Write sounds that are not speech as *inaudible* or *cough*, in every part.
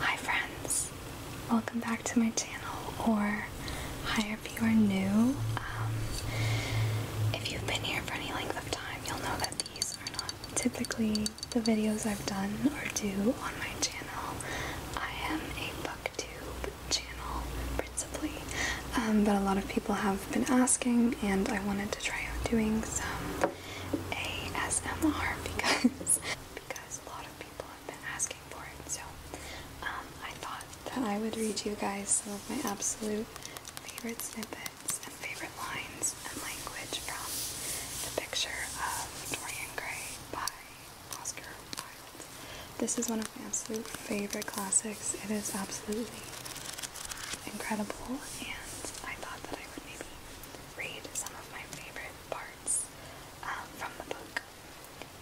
Hi friends, welcome back to my channel, or hi if you are new. Um, if you've been here for any length of time, you'll know that these are not typically the videos I've done or do on my channel. I am a booktube channel, principally, um, but a lot of people have been asking, and I wanted to try out doing some ASMR *laughs* because because a lot of people have been asking for it. So um, I thought that I would read you guys some of my absolute favorite snippets and favorite lines and language from the picture of Dorian Gray by Oscar Wilde. This is one of my absolute favorite classics. It is absolutely incredible and I thought that I would maybe read some of my favorite parts um, from the book.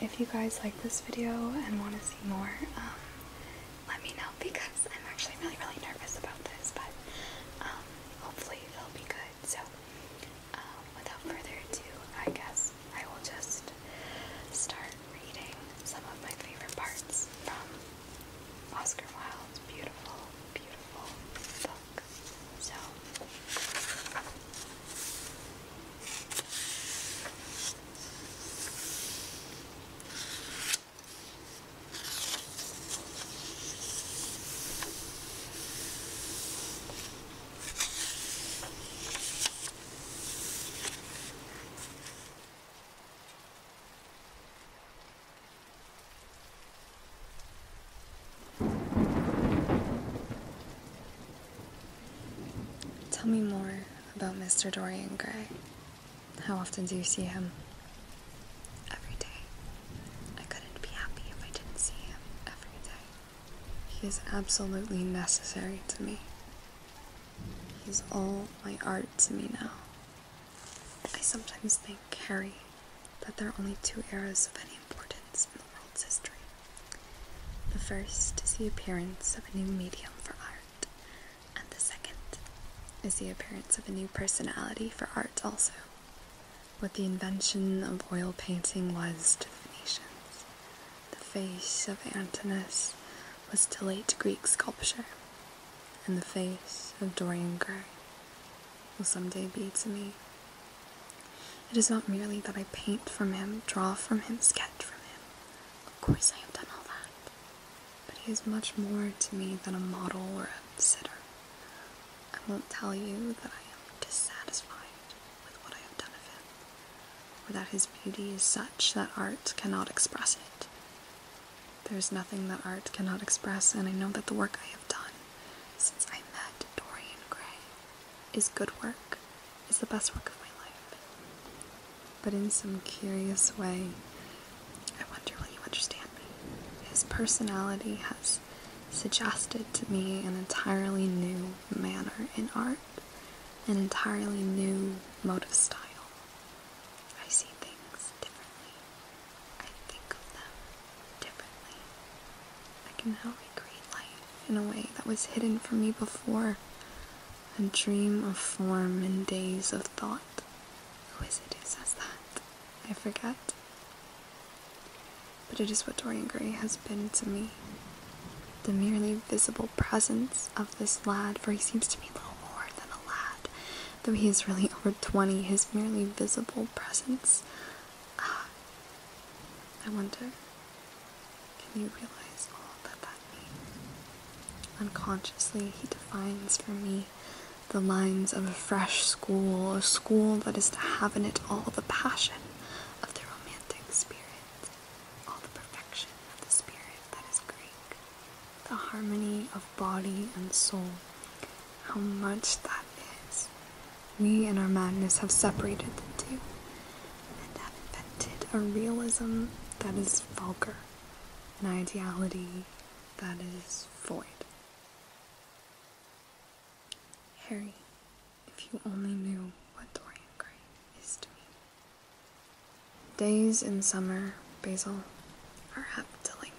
If you guys like this video and want to see more, um, let me know because I'm actually really, really nervous about this, but um, hopefully it'll be good. So, without further ado, I guess I will just start reading some of my favorite parts from Oscar Wilde's beautiful, beautiful book. So Tell me more about Mr. Dorian Gray. How often do you see him? Every day. I couldn't be happy if I didn't see him every day. He is absolutely necessary to me. He's all my art to me now. I sometimes think, Harry, that there are only two eras of any importance in the world's history. The first is the appearance of a new medium for art, and the second is the appearance of a new personality for art also. What the invention of oil painting was to the Phoenicians, the face of Antinous was to late Greek sculpture, and the face of Dorian Gray will someday be to me. It is not merely that I paint from him, draw from him, sketch from him. Of course, I have done all that. But he is much more to me than a model or a sitter. I won't tell you that I am dissatisfied with what I have done of him, or that his beauty is such that art cannot express it. There's nothing that art cannot express, and I know that the work I have done since I met Dorian Gray is good work, is the best work of my life. But in some curious way, I wonder will you understand me? His personality has suggested to me an entirely new manner in art, an entirely new mode of style. I see things differently. I think of them differently. I can now recreate life in a way that was hidden from me before. A dream of form and days of thought. Who is it who says that? I forget. But it is what Dorian Gray has been to me. The merely visible presence of this lad, for he seems to me little more than a lad, Though he is really over 20, his merely visible presence. Ah, I wonder, can you realize all that that means? Unconsciously, he defines for me the lines of a fresh school, a school that is to have in it all the passion of the romantic spirit, all the perfection of the spirit that is Greek the harmony of body and soul. How much that is. We in our madness have separated the two and have invented a realism that is vulgar, an ideality that is void. Harry, if you only knew what Dorian Gray is to me. Days in summer, Basil, are apt to linger.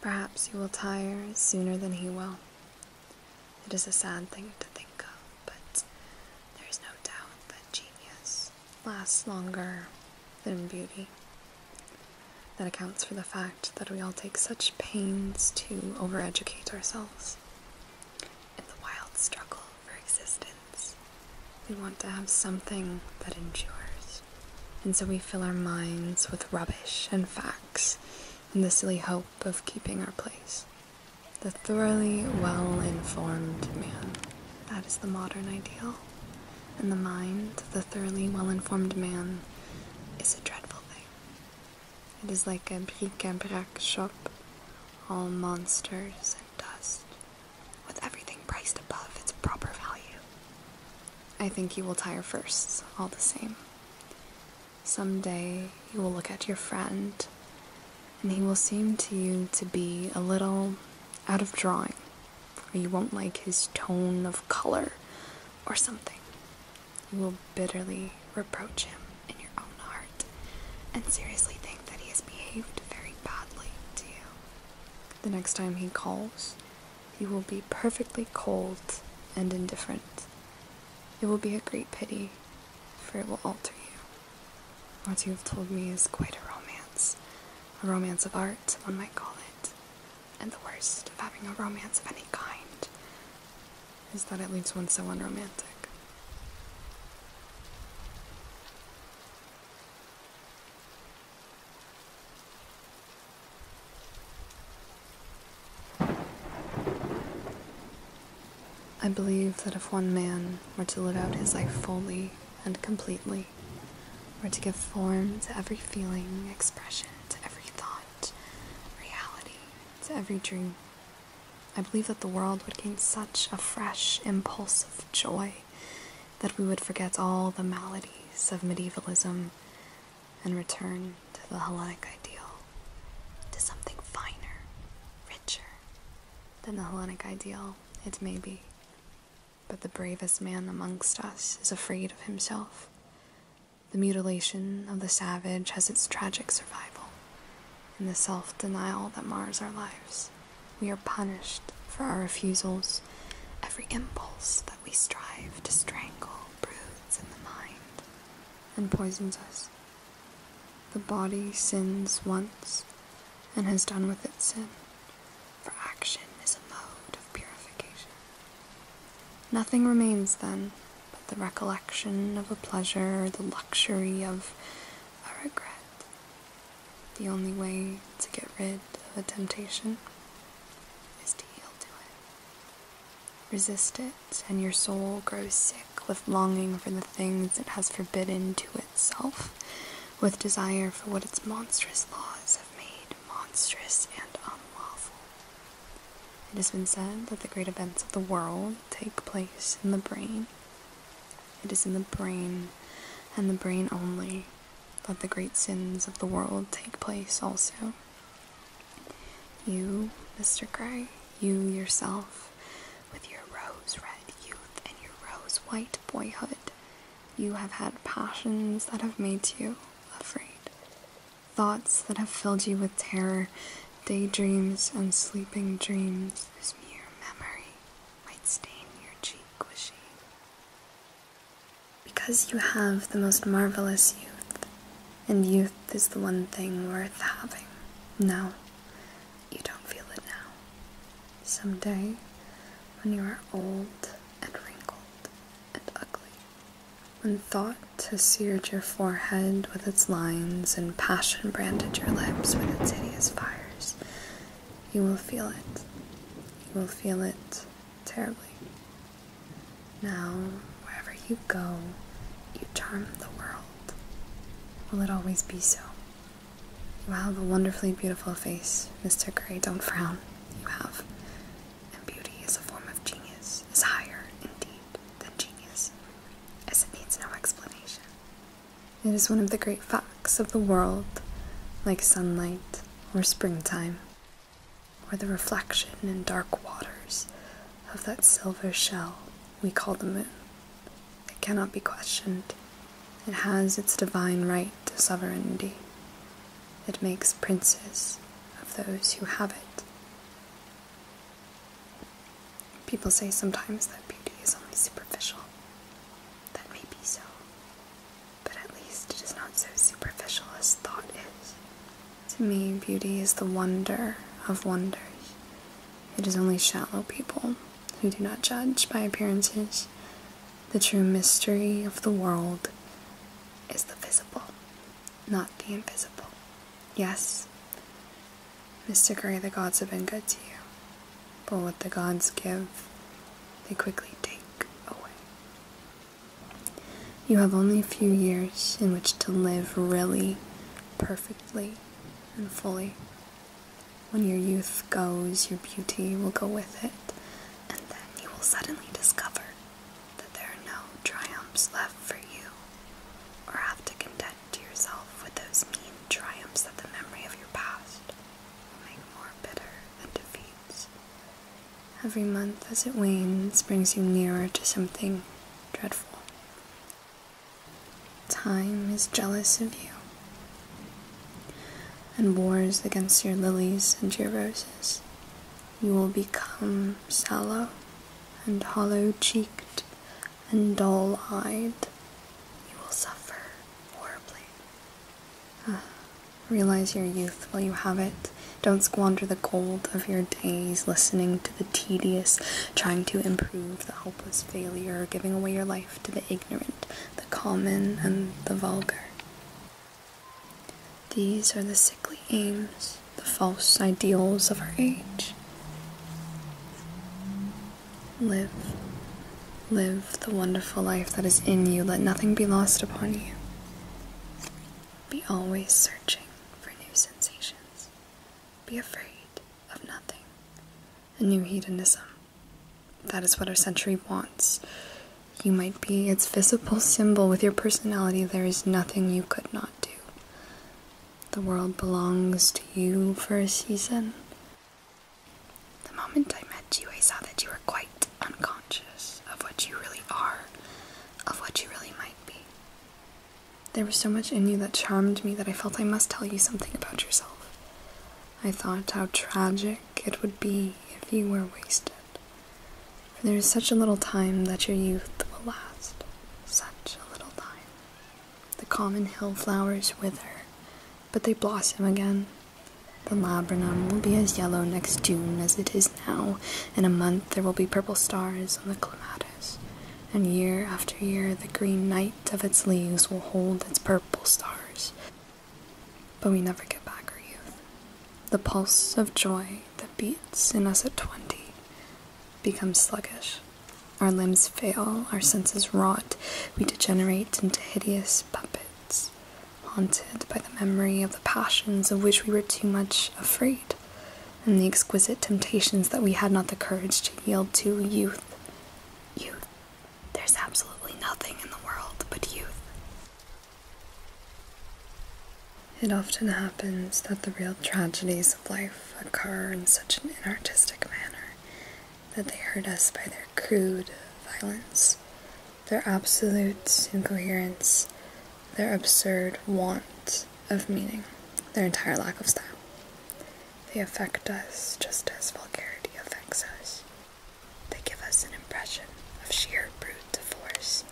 Perhaps he will tire sooner than he will. It is a sad thing to think of, but there is no doubt that genius lasts longer than beauty. That accounts for the fact that we all take such pains to overeducate ourselves in the wild struggle for existence. We want to have something that endures. And so we fill our minds with rubbish and facts in the silly hope of keeping our place. The thoroughly well informed man. That is the modern ideal. In the mind, the thoroughly well informed man is a dreadful thing. It is like a bric a brac shop, all monsters and dust with everything priced above its proper value. I think you will tire first, all the same. Some day you will look at your friend, and he will seem to you to be a little out of drawing, or you won't like his tone of color or something. You will bitterly reproach him in your own heart, and seriously think that he has behaved very badly to you. The next time he calls, you will be perfectly cold and indifferent. It will be a great pity, for it will alter you. What you have told me is quite a romance. A romance of art, one might call it. And the worst of having a romance of any kind is that it leaves one so unromantic. I believe that if one man were to live out his life fully and completely, were to give form to every feeling, expression, to every thought, reality, to every dream, I believe that the world would gain such a fresh impulse of joy that we would forget all the maladies of medievalism and return to the Hellenic ideal, to something finer, richer than the Hellenic ideal, it may be. But the bravest man amongst us is afraid of himself. The mutilation of the savage has its tragic survival in the self denial that mars our lives. We are punished for our refusals. Every impulse that we strive to strangle broods in the mind and poisons us. The body sins once and has done with its sin, for action is a mode of purification. Nothing remains then but the recollection of a pleasure the luxury of a regret. The only way to get rid of a temptation is to yield to it. Resist it, and your soul grows sick with longing for the things it has forbidden to itself, with desire for what its monstrous laws have made monstrous and unlawful. It has been said that the great events of the world take place in the brain. It is in the brain, and the brain only, let the great sins of the world take place also. You, Mr. Gray, you yourself, with your rose red youth and your rose white boyhood, you have had passions that have made you afraid, thoughts that have filled you with terror, daydreams and sleeping dreams whose mere memory might stain your cheek with shame. Because you have the most marvelous youth, and youth is the one thing worth having. Now, you don't feel it now. Someday, when you are old and wrinkled and ugly, when thought has seared your forehead with its lines and passion branded your lips with its hideous fires, you will feel it. You will feel it terribly. Now, wherever you go, you charm the world. Will it always be so? You have a wonderfully beautiful face, Mr. Gray. Don't frown. You have. And beauty is a form of genius, is higher, indeed, than genius, as it needs no explanation. It is one of the great facts of the world, like sunlight or springtime, or the reflection in dark waters of that silver shell we call the moon. It cannot be questioned. It has its divine right to sovereignty. It makes princes of those who have it. People say sometimes that beauty is only superficial. That may be so, but at least it is not so superficial as thought is. To me, beauty is the wonder of wonders. It is only shallow people who do not judge by appearances. The true mystery of the world is the visible, not the invisible. Yes, Mr. Gray, the gods have been good to you. But what the gods give, they quickly take away. You have only a few years in which to live really, perfectly, and fully. When your youth goes, your beauty will go with it, and then you will suddenly discover that there are no triumphs left for you, or have to content yourself with those mean triumphs that the memory of your past growing more bitter than defeats. Every month as it wanes brings you nearer to something dreadful. Time is jealous of you and wars against your lilies and your roses. You will become sallow and hollow cheeked and dull eyed. You will suffer horribly. Ah, realize your youth while you have it. Don't squander the gold of your days listening to the tedious, trying to improve the helpless failure, giving away your life to the ignorant, the common, and the vulgar. These are the sickly aims, the false ideals of our age. Live. Live the wonderful life that is in you. Let nothing be lost upon you. Be always searching for new sensations. Be afraid of nothing. A new hedonism. That is what our century wants. You might be its visible symbol. With your personality, there is nothing you could not do. The world belongs to you for a season. The moment I met you, I saw that you were quite unconscious of what you really are, of what you really might be. There was so much in you that charmed me that I felt I must tell you something about yourself. I thought how tragic it would be if you were wasted. there is such a little time that your youth will last, such a little time. The common hill flowers wither, but they blossom again. The laburnum will be as yellow next June as it is now. In a month, there will be purple stars on the clematis, and year after year, the green night of its leaves will hold its purple stars. But we never get back our youth, the pulse of joy that beats in us at twenty becomes sluggish our limbs fail, our senses rot, we degenerate into hideous puppets, haunted by the memory of the passions of which we were too much afraid, and the exquisite temptations that we had not the courage to yield to youth. Youth. There's absolutely nothing in the world but youth. It often happens that the real tragedies of life occur in such an inartistic manner that they hurt us by their crude violence, their absolute incoherence, their absurd want of meaning, their entire lack of style. They affect us just as vulgarity affects us. They give us an impression of sheer brute force,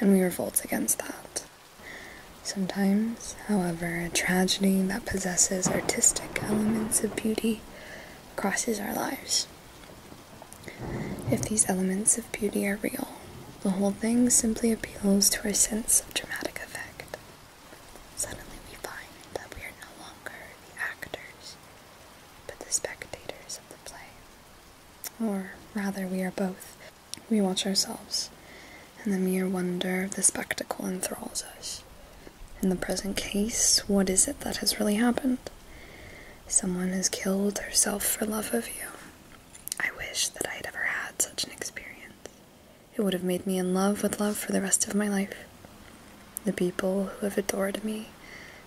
and we revolt against that. Sometimes, however, a tragedy that possesses artistic elements of beauty crosses our lives. If these elements of beauty are real, the whole thing simply appeals to our sense of dramatic effect. Suddenly we find that we are no longer the actors, but the spectators of the play. Or rather, we are both. We watch ourselves, and the mere wonder of the spectacle enthralls us. In the present case, what is it that has really happened? Someone has killed herself for love of you. I wish that I had ever had such an experience. It would have made me in love with love for the rest of my life. The people who have adored me,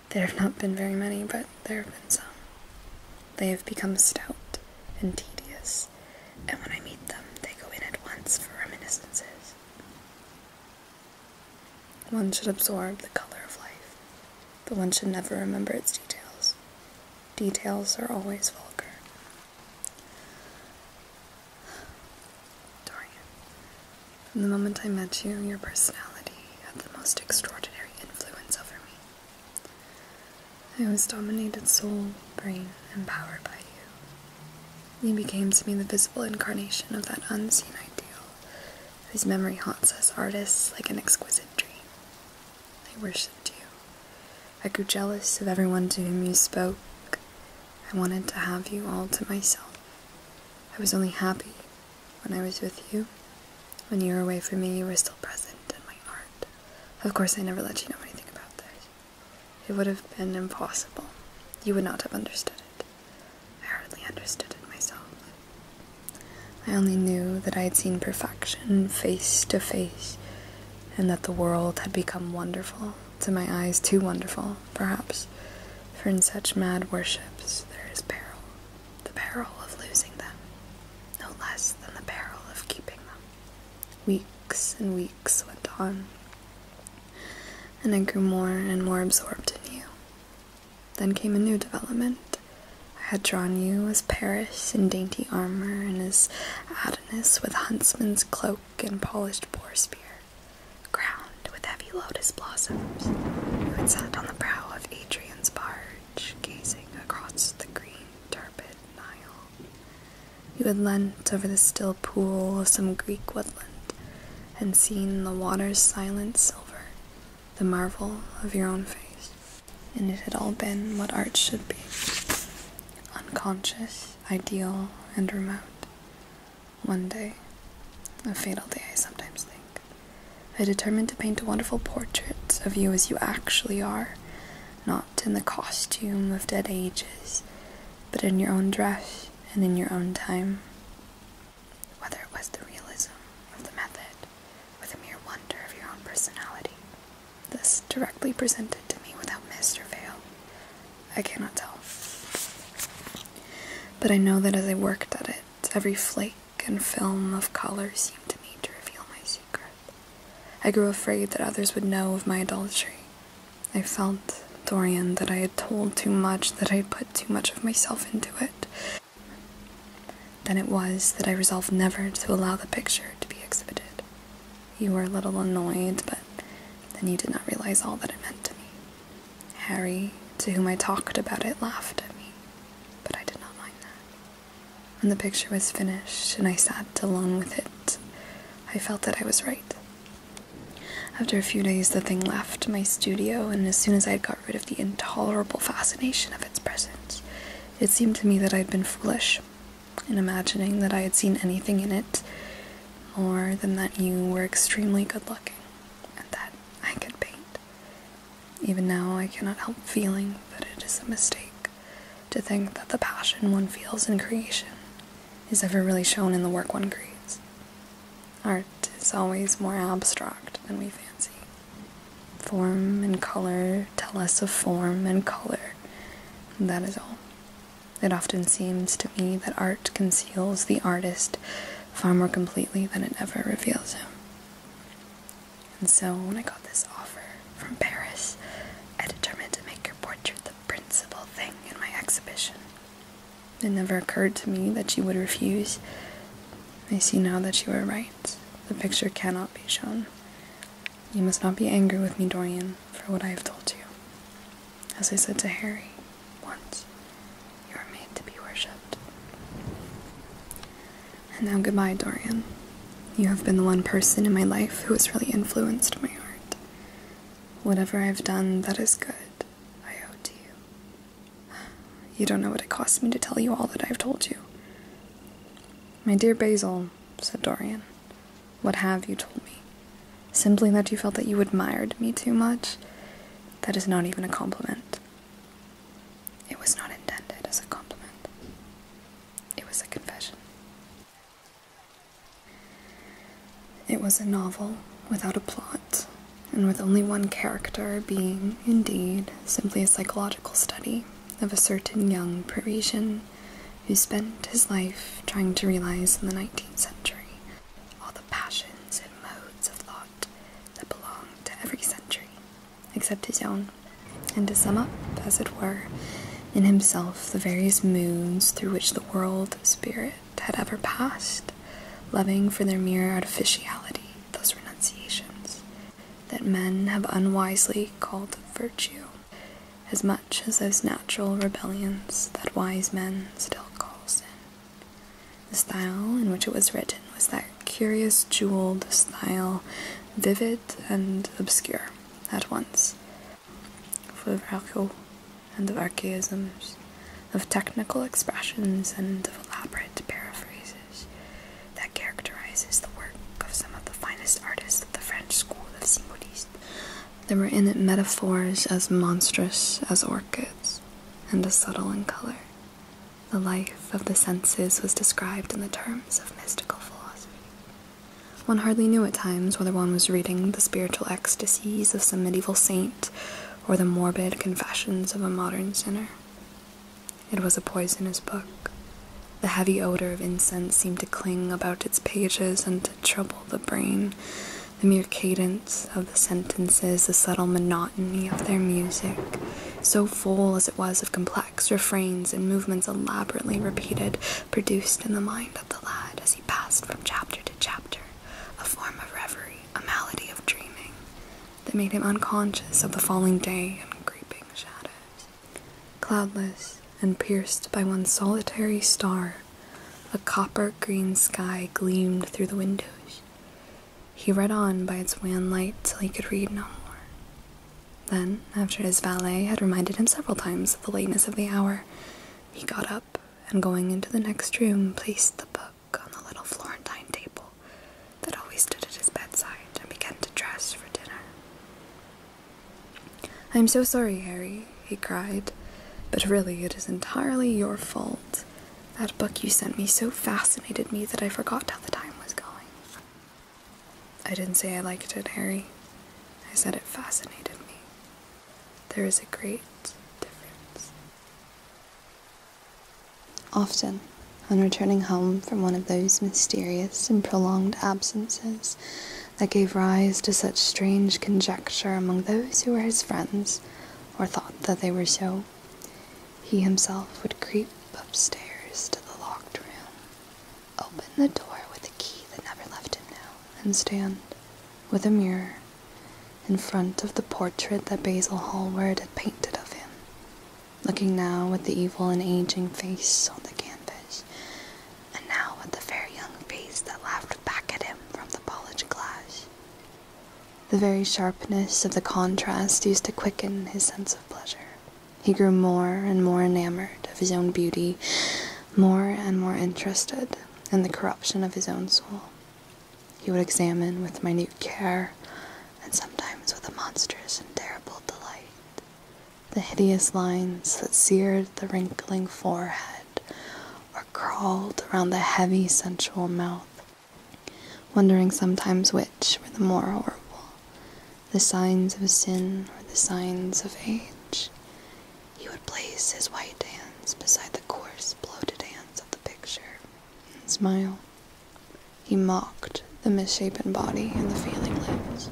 there have not been very many, but there have been some. They have become stout and tedious, and when I meet them, they go in at once for reminiscences. One should absorb the color of life, but one should never remember its details. Details are always vulgar. Dorian, from the moment I met you, your personality had the most extraordinary influence over me. I was dominated soul, brain, and power by you. You became to me the visible incarnation of that unseen ideal, whose memory haunts us artists like an exquisite dream. I worshipped you. I grew jealous of everyone to whom you spoke. I wanted to have you all to myself. I was only happy when I was with you. When you were away from me, you were still present in my heart. Of course, I never let you know anything about this. It would have been impossible. You would not have understood it. I hardly understood it myself. I only knew that I had seen perfection face to face, and that the world had become wonderful, to my eyes too wonderful, perhaps, for in such mad worships there is peril, the peril of losing them, no less than the peril of keeping them. Weeks and weeks went on and I grew more and more absorbed in you. Then came a new development. I had drawn you as Paris in dainty armor and as Adonis with huntsman's cloak and polished boar spear, crowned with heavy lotus blossoms, who had sat on the prow of Adrian's barge, gazing across the green, turbid Nile. You had leant over the still pool of some Greek woodland, and seen the water's silent silver, the marvel of your own face. And it had all been what art should be unconscious, ideal, and remote. One day, a fatal day, I sometimes think. I determined to paint a wonderful portrait of you as you actually are, not in the costume of dead ages, but in your own dress and in your own time. Whether it was the realism of the method or the mere wonder of your own personality, this directly presented to me without mist or veil, I cannot tell. But I know that as I worked at it, every flake and film of color seemed to me to reveal my secret. I grew afraid that others would know of my adultery, I felt, Dorian, that I had told too much, that I had put too much of myself into it. Then it was that I resolved never to allow the picture to be exhibited. You were a little annoyed, but then you did not realize all that it meant to me. Harry, to whom I talked about it, laughed at me, but I did not mind that. When the picture was finished and I sat alone with it, I felt that I was right. After a few days, the thing left my studio, and as soon as I had got rid of the intolerable fascination of its presence, it seemed to me that I had been foolish in imagining that I had seen anything in it more than that you were extremely good looking and that I could paint. Even now, I cannot help feeling that it is a mistake to think that the passion one feels in creation is ever really shown in the work one creates. Art is always more abstract than we fancy. Form and color tell us of form and color, that is all. It often seems to me that art conceals the artist far more completely than it ever reveals him. And so, when I got this offer from Paris, I determined to make your portrait the principal thing in my exhibition. It never occurred to me that you would refuse. I see now that you were right. The picture cannot be shown. You must not be angry with me, Dorian, for what I have told you. As I said to Harry once, you are made to be worshipped. And now goodbye, Dorian. You have been the one person in my life who has really influenced my art. Whatever I've done that is good, I owe to you. *sighs* You don't know what it costs me to tell you all that I've told you. My dear Basil, said Dorian, what have you told me? Simply that you felt that you admired me too much? That is not even a compliment. It was not intended as a compliment, it was a confession. It was a novel without a plot, and with only one character being, indeed, simply a psychological study of a certain young Parisian who spent his life trying to realize in the 19th century all the passions and modes of thought that belong to every century except his own, and to sum up, as it were, in himself the various moons through which the world spirit had ever passed, loving for their mere artificiality those renunciations that men have unwisely called virtue, as much as those natural rebellions that wise men still call sin. The style in which it was written was that curious jeweled style, vivid and obscure at once, of Virchow and of archaisms, of technical expressions, and of elaborate paraphrases that characterizes the work of some of the finest artists of the French school of Symbolism. There were in it metaphors as monstrous as orchids, and as subtle in color. The life of the senses was described in the terms of mystical philosophy. One hardly knew at times whether one was reading the spiritual ecstasies of some medieval saint or the morbid confessions of a modern sinner. It was a poisonous book. The heavy odor of incense seemed to cling about its pages and to trouble the brain. The mere cadence of the sentences, the subtle monotony of their music, so full as it was of complex refrains and movements elaborately repeated, produced in the mind of the lad as he passed from chapter to chapter, a form of reverie, a malady of dreaming, that made him unconscious of the falling day and creeping shadows. Cloudless and pierced by one solitary star, a copper green sky gleamed through the windows. He read on by its wan light till he could read no more. Then, after his valet had reminded him several times of the lateness of the hour, he got up and, going into the next room, placed the book on the little Florentine table that always stood at his bedside and began to dress for dinner. I am so sorry, Harry, he cried, but really it is entirely your fault. That book you sent me so fascinated me that I forgot how the time was going. I didn't say I liked it, Harry. I said it fascinated me. There is a great difference. Often, on returning home from one of those mysterious and prolonged absences that gave rise to such strange conjecture among those who were his friends, or thought that they were so, he himself would creep upstairs to the locked room Open the door with the key that never left him now, and stand, with a mirror, in front of the portrait that Basil Hallward had painted of him, looking now at the evil and aging face on the canvas, and now at the fair young face that laughed back at him from the polished glass. The very sharpness of the contrast used to quicken his sense of pleasure. He grew more and more enamored of his own beauty more and more interested in the corruption of his own soul. He would examine with minute care, and sometimes with a monstrous and terrible delight, the hideous lines that seared the wrinkling forehead or crawled around the heavy, sensual mouth, wondering sometimes which were the more horrible the signs of sin or the signs of age, he would place his white hands beside the coarse, bloated hands of the picture and smile. He mocked the misshapen body and the failing limbs.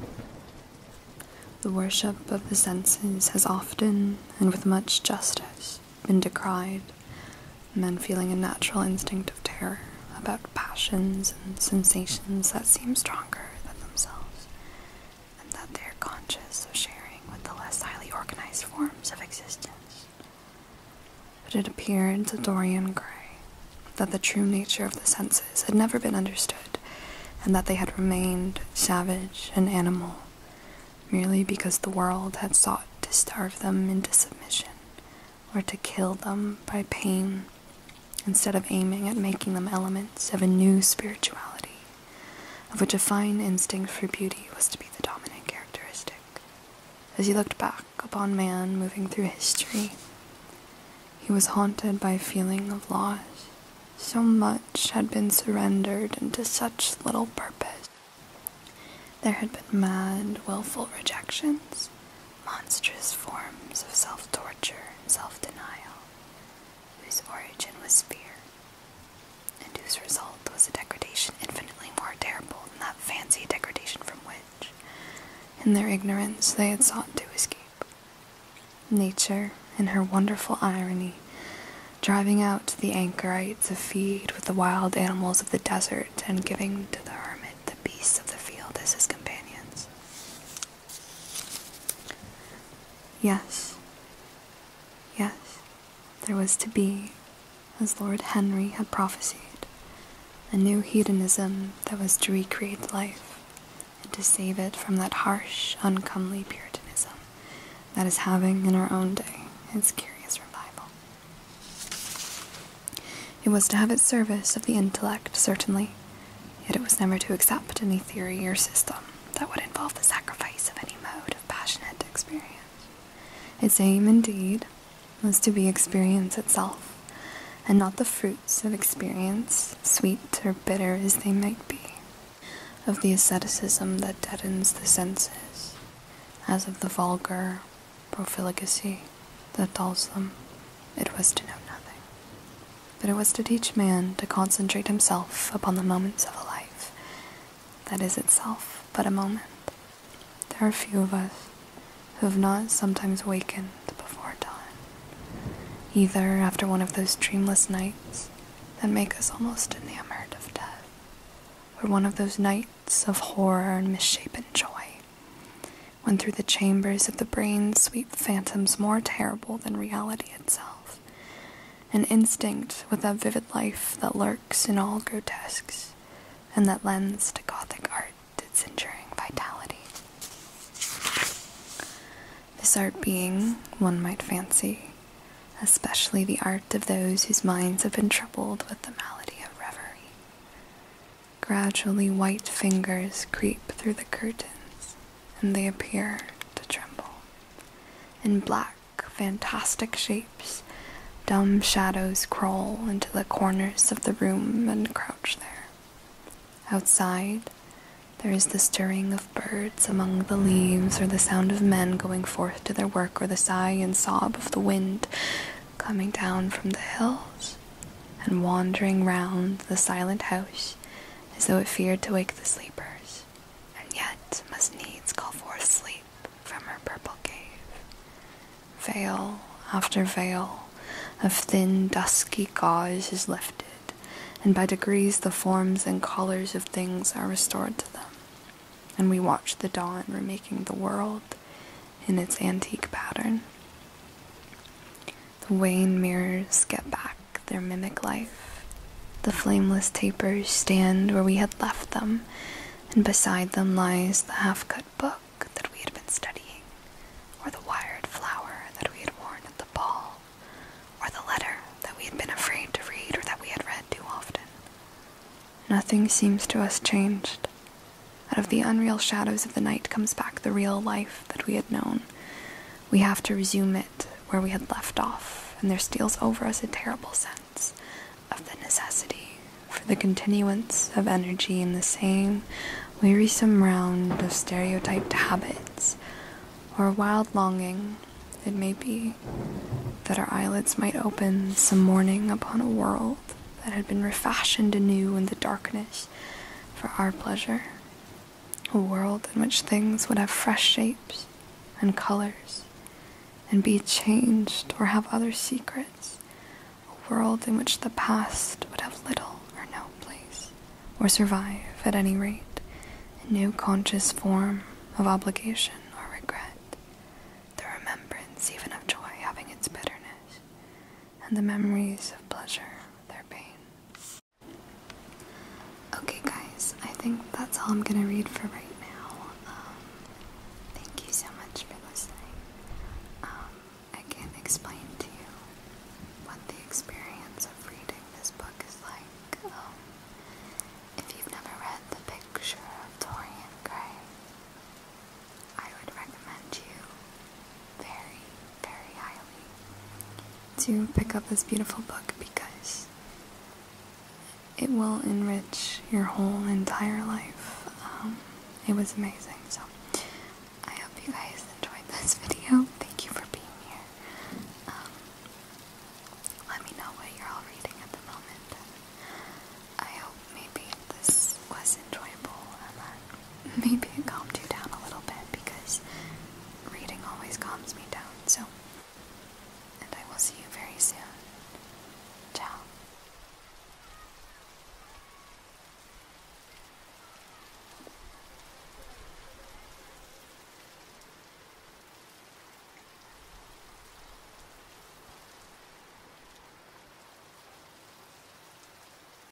The worship of the senses has often, and with much justice, been decried, men feeling a natural instinct of terror about passions and sensations that seem stronger than themselves, and that they're conscious of sharing with the less highly organized forms of existence. But it appeared to Dorian Gray that the true nature of the senses had never been understood, and that they had remained savage and animal merely because the world had sought to starve them into submission or to kill them by pain instead of aiming at making them elements of a new spirituality, of which a fine instinct for beauty was to be the dominant characteristic. As he looked back upon man moving through history, he was haunted by a feeling of loss. So much had been surrendered into such little purpose. There had been mad, wilful rejections, monstrous forms of self torture and self denial, whose origin was fear, and whose result was a degradation infinitely more terrible than that fancy degradation from which, in their ignorance, they had sought to escape. Nature, in her wonderful irony, driving out the anchorites to feed with the wild animals of the desert and giving to the hermit the beasts of the field as his companions. Yes. Yes, there was to be, as Lord Henry had prophesied, a new hedonism that was to recreate life and to save it from that harsh, uncomely Puritanism that is having in our own day its curious revival. It was to have its service of the intellect, certainly, Yet it was never to accept any theory or system that would involve the sacrifice of any mode of passionate experience. Its aim, indeed, was to be experience itself, and not the fruits of experience, sweet or bitter as they might be, of the asceticism that deadens the senses, as of the vulgar profligacy that dulls them. It was to know nothing, but it was to teach man to concentrate himself upon the moments of a life that is itself but a moment. There are few of us who have not sometimes wakened before dawn, either after one of those dreamless nights that make us almost enamored of death, or one of those nights of horror and misshapen joy when through the chambers of the brain sweep phantoms more terrible than reality itself, an instinct with a vivid life that lurks in all grotesques, and that lends to Gothic art its enduring vitality. This art being, one might fancy, especially the art of those whose minds have been troubled with the malady of reverie. Gradually, white fingers creep through the curtains, and they appear to tremble. In black, fantastic shapes, dumb shadows crawl into the corners of the room and crouch there. Outside, there is the stirring of birds among the leaves, or the sound of men going forth to their work, or the sigh and sob of the wind coming down from the hills and wandering round the silent house as though it feared to wake the sleepers, and yet must needs call forth sleep from her purple cave. Veil after veil of thin dusky gauze is lifted, and by degrees the forms and colours of things are restored to them, and we watch the dawn remaking the world in its antique pattern. The wane mirrors get back their mimic life. The flameless tapers stand where we had left them, and beside them lies the half cut book that we had been studying, or the wired flower that we had worn at the ball, or the letter that we had been afraid to read or that we had read too often. Nothing seems to us changed. Out of the unreal shadows of the night comes back the real life that we had known we have to resume it where we had left off, and there steals over us a terrible sense of the necessity for the continuance of energy in the same wearisome round of stereotyped habits, or a wild longing, it may be, that our eyelids might open some morning upon a world that had been refashioned anew in the darkness for our pleasure a world in which things would have fresh shapes and colors and be changed or have other secrets, a world in which the past would have little or no place, or survive at any rate in no conscious form of obligation or regret, the remembrance even of joy having its bitterness, and the memories of pleasure their pain. Okay, guys, I think that's all I'm gonna read for right now. Um, thank you so much for listening. Um, I can't explain to you what the experience of reading this book is like. Um, if you've never read The Picture of Dorian Gray, I would recommend you very, very highly to pick up this beautiful book because it will enrich your whole entire life. Um, it was amazing. So I hope you guys enjoyed this *laughs* video. Thank you for being here. Um, let me know what you're all reading at the moment. I hope maybe this was enjoyable and maybe it calmed you down a little bit because reading always calms me down. So, and I will see you very soon. Ciao.